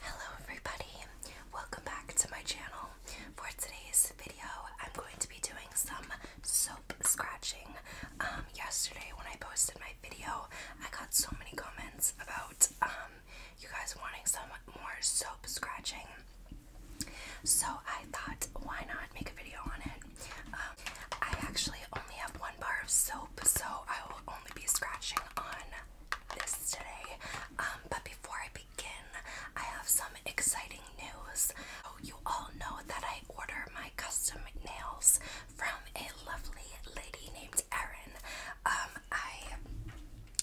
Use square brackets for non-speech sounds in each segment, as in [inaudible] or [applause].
Hello, everybody, welcome back to my channel. For today's video, I'm going to be doing some soap scratching. Um, yesterday, when I posted my video, I got so many comments about um, you guys wanting some more soap scratching. So I thought, why not make a video on it? Um, I actually only have one bar of soap, so I will only be scratching on this today. Um, but before I begin, I have some exciting news. Oh, you all know that I order my custom nails from a lovely lady named Erin. Um, I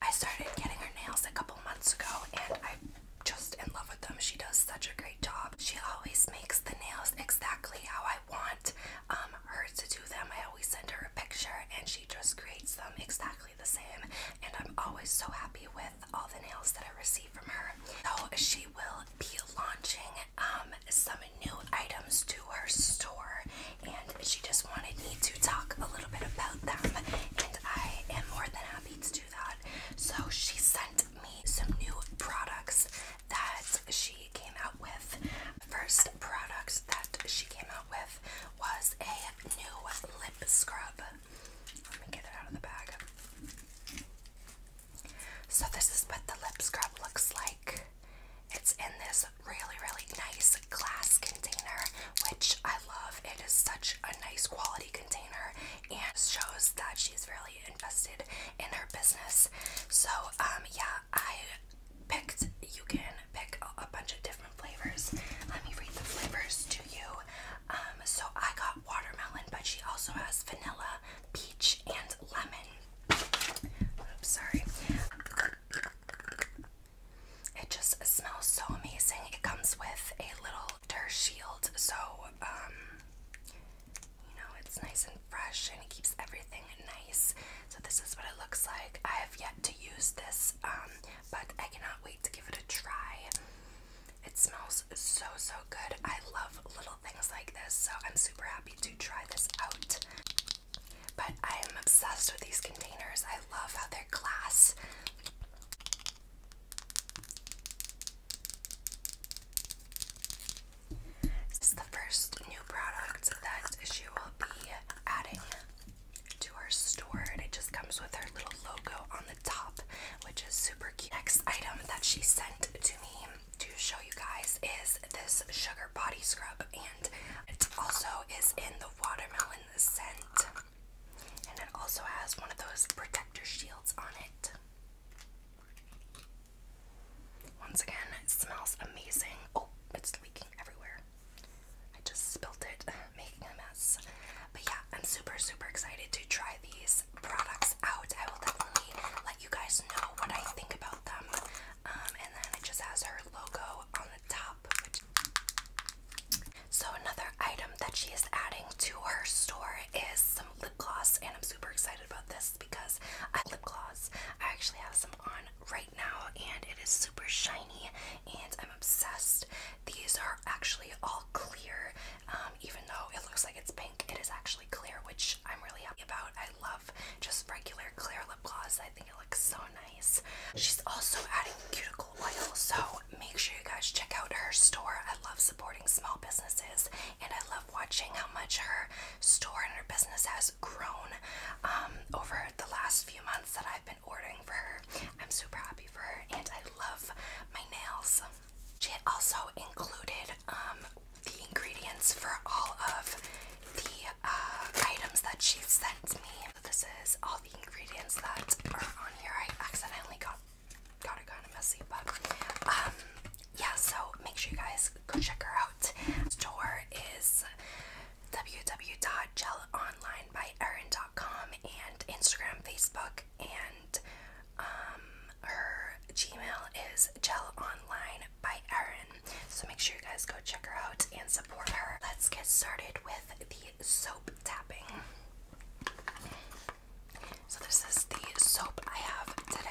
I started getting her nails a couple months ago, and I just in love with them. She does such a great job. She always makes the nails exactly how I want um, her to do them. I always send her a picture and she just creates them exactly the same. And I'm always so happy with all the nails that I receive from her. So she will be launching um, some new items to her store and she just wanted me to talk a little bit about them. And I am more than happy to do so she sent me some new products that she came out with. First product that she came out with was a new lip scrub. Let me get it out of the bag. So this is what the lip scrub looks like. It's in this really, really nice glass container which I love. It is such a nice quality container and shows that she's really invested in her business. So, um, yeah, I picked, you can pick a, bunch of different flavors. Let me read the flavors to you. Um, so I got watermelon, but she also has vanilla, peach, and lemon. sorry. It just smells so amazing. It comes with a little her shield so um you know it's nice and fresh and it keeps everything nice so this is what it looks like I have yet to use this um but I cannot wait to give it a try it smells so so good I love little things like this so I'm super happy to try this out but I am obsessed with these containers I love how they're glass this is the first new product that she will be adding to her store, and it just comes with her little logo on the top, which is super cute. Next item that she sent to me to show you guys is this sugar body scrub, and it also is in the watermelon scent. And it also has one of those protector shields on it. Once again, it smells amazing. Oh, it's leaking everywhere. I just spilled it, [laughs] making a mess. But yeah, I'm super, super excited to try these products out. I will definitely let you guys know what I think about them. Um, and then it just has her logo on the top. Which so another item that she is adding to her store is some lip gloss and I'm super excited about this because I lip gloss. I actually have some on right now and it is super shiny and I'm obsessed. These are actually all clear um, even though it looks like it's pink it is actually clear which I'm really happy about. I love just regular clear lip gloss. I think it looks so nice. She's also adding cuticle oil so make sure you guys check out her store. I love supporting small businesses and I love watching how much her store and her business has grown um, over the last few months that I've been ordering for her. I'm super happy for her and I love my nails. She also included um, the ingredients for all of the uh, items that she sent me. This is all the ingredients that are on here. I accidentally got got it kind of messy, but um yeah, so make sure you guys go check her out. Store is www.gelonlinebyErin.com and Instagram, Facebook, and um her Gmail is gelonlinebyErin. So make sure you guys go check her out and support her. Let's get started with the soap tapping. So, this is the soap I have today.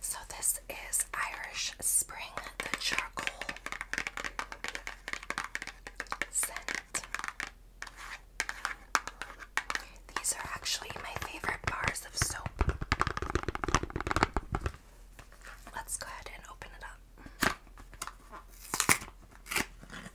So this is Irish Spring, the charcoal scent. These are actually my favorite bars of soap. Let's go ahead and open it up.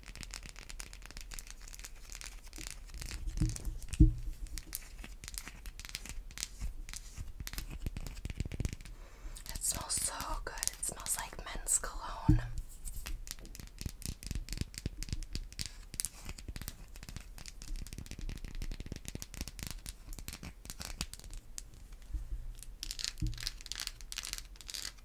It smells so good. It smells like men's cologne.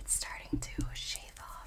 It's starting to shave off.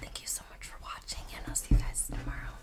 Thank you so much for watching, and I'll see you guys tomorrow.